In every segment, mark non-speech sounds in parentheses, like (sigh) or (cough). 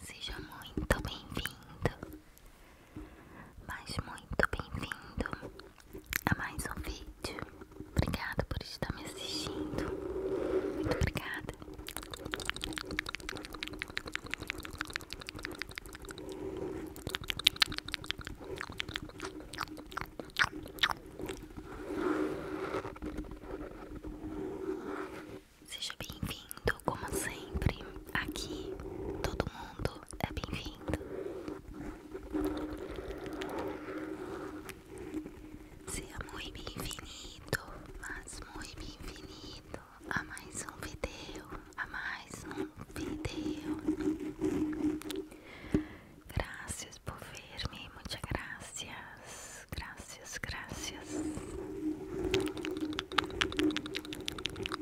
Seja muito bem-vindo, mas muito bem-vindo a mais um vídeo. Obrigada por estar me assistindo. Muito obrigada. Seja bem-vindo, como sempre. Aqui todo mundo é bem-vindo. Seja muito bem-vindo, mas muito bem-vindo a mais um vídeo, a mais um vídeo. Graças por ver-me, muita graça gracias, gracias.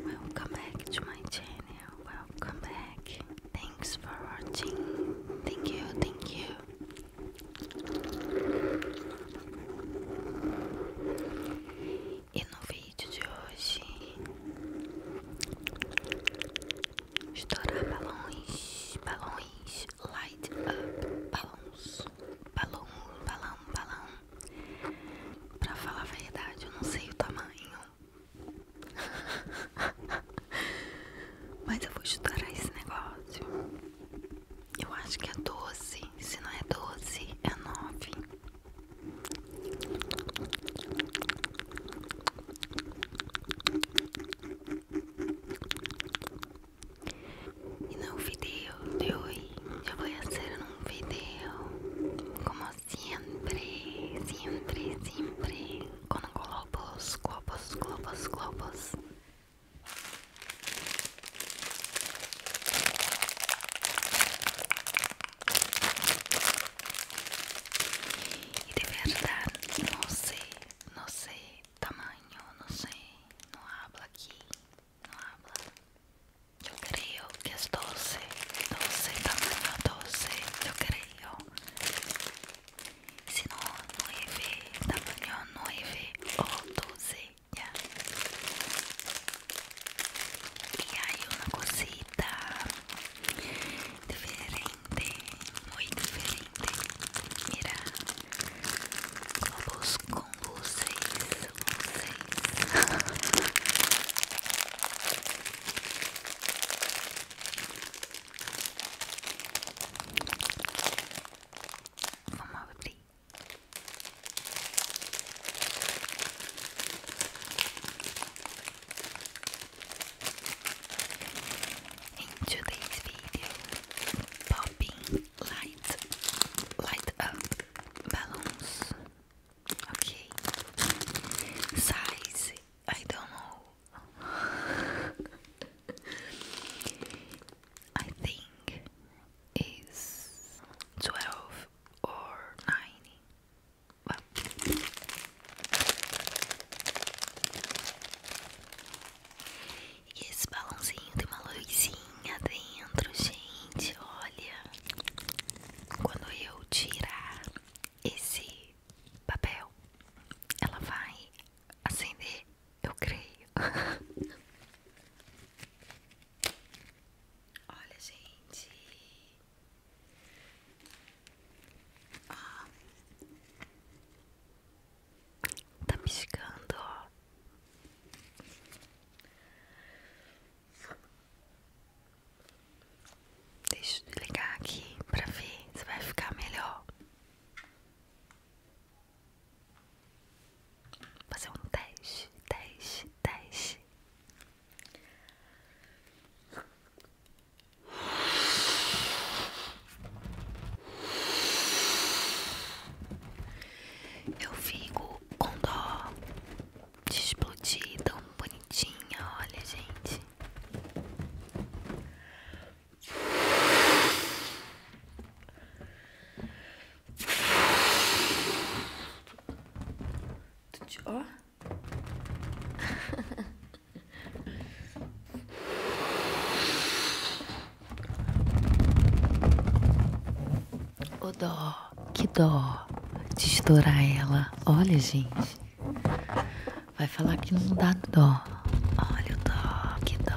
Welcome back to my channel. Welcome back. Thanks for watching. Thank you, thank you. E no vídeo de hoje, estourar balões, balões light up balões, balão, balão, balão. Pra falar a verdade, eu não sei o tamanho, (laughs) mas eu vou estourar esse negócio. Eu acho que é 12, se não é 12, é 9. E no vídeo de hoje eu vou fazer um vídeo como sempre sempre sempre com globos, globos, globos, globos. e de verdade não sei não sei tamanho, não sei, não habla aqui, não habla. Eu creio que é doce doce tamanho doce eu creio. Se não, 9, é tamanho 9 ou 12, E aí uma cosita diferente muito diferente. Mira, globos com vocês, vocês. Vamos abrir. In today's video, popping light light up balloons. Okay. Size I don't know. (laughs) I think is twelve or nine. E esse balãozinho tem uma luzinha dentro, gente. Olha, quando eu tirar esse papel, ela vai acender, eu creio. (laughs) Olha, gente, ah. Tá piscando, ó. Deixa eu ligar aqui pra ver se vai ficar melhor. Fazer um teste, teste, teste. Eu fico com dó de explodir tão bonitinha, olha, gente. Ó. O dó, que dó de estourar ela. Olha, gente. Vai falar que não dá dó. Olha o dó, que dó.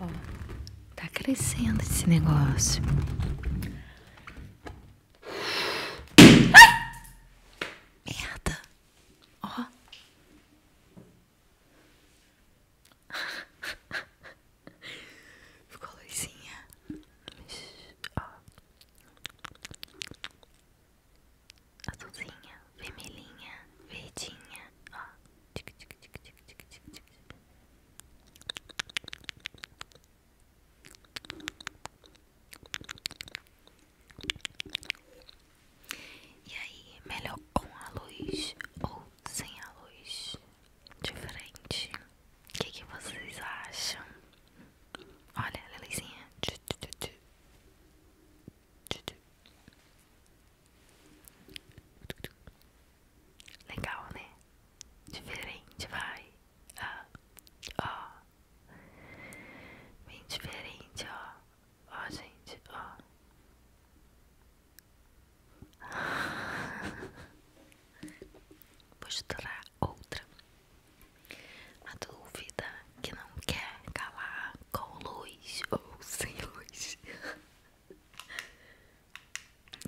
Ó, tá crescendo esse negócio. Ai! Merda. Ó. Oh. (laughs) Ficou a luzinha. Ó. Oh. Azulzinha, vermelhinha, verdinha. Ó. Oh. Tic, tic, tic, tic, tic, tic, tic. E aí, melhor com a luz ou sem a luz? Diferente. O que, vocês acham? Olha, Lelizinha. Legal, né? Diferente, vai. Ah, ó. Bem diferente, ó. Ó, gente, ó. (laughs) Vou estourar outra. A dúvida que não quer calar com luz ou sem luz. (laughs)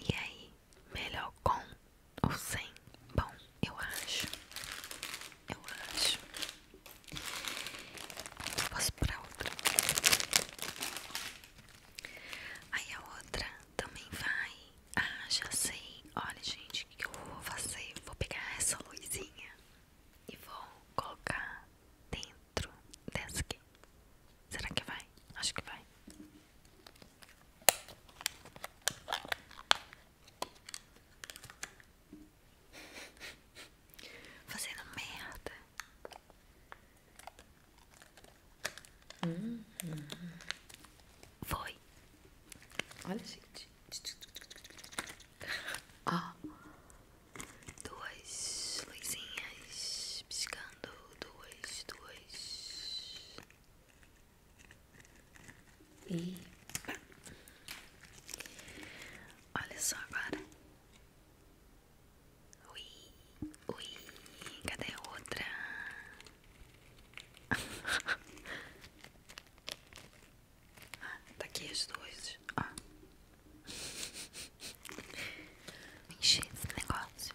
E aí, melhor com ou 100. Bom, eu acho. Eu acho. Eu posso para outra. Aí a outra também vai. Ah, já sei. Olha, gente, o que eu vou fazer? vou pegar essa luzinha e vou colocar dentro dessa aqui. Será que vai? Acho que vai. Fazendo merda. Foi. Olha, gente. (laughs) Ó. Duas luzinhas piscando. Duas, duas. E olha só agora. Ui, ui, cadê a outra? (laughs) ah, tá aqui as duas. Ó. Ah. negócio.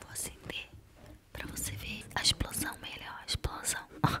Vou acender para você ver a explosão melhor. A explosão. (laughs)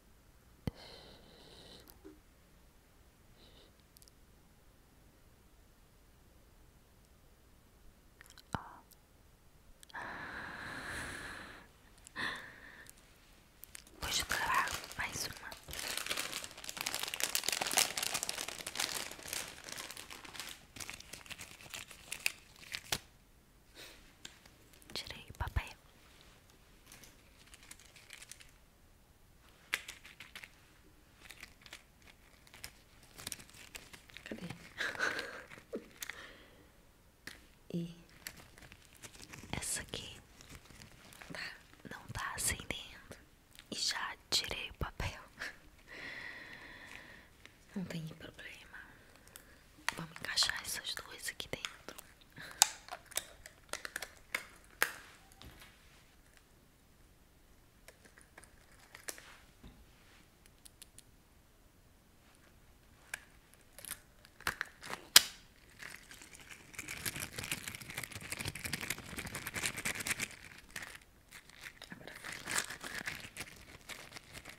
Oh. Hoje eu mais uma. Tirei o papel. Cadê? (laughs) e essa aqui tá. não tá acendendo. E já tirei o papel. Não tem problema. Vamos encaixar essas duas aqui dentro.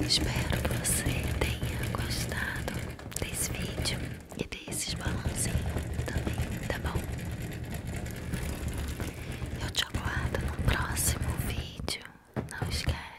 Espero que você tenha gostado desse vídeo e desses balãozinhos também, tá bom? Eu te aguardo no próximo vídeo, não esquece.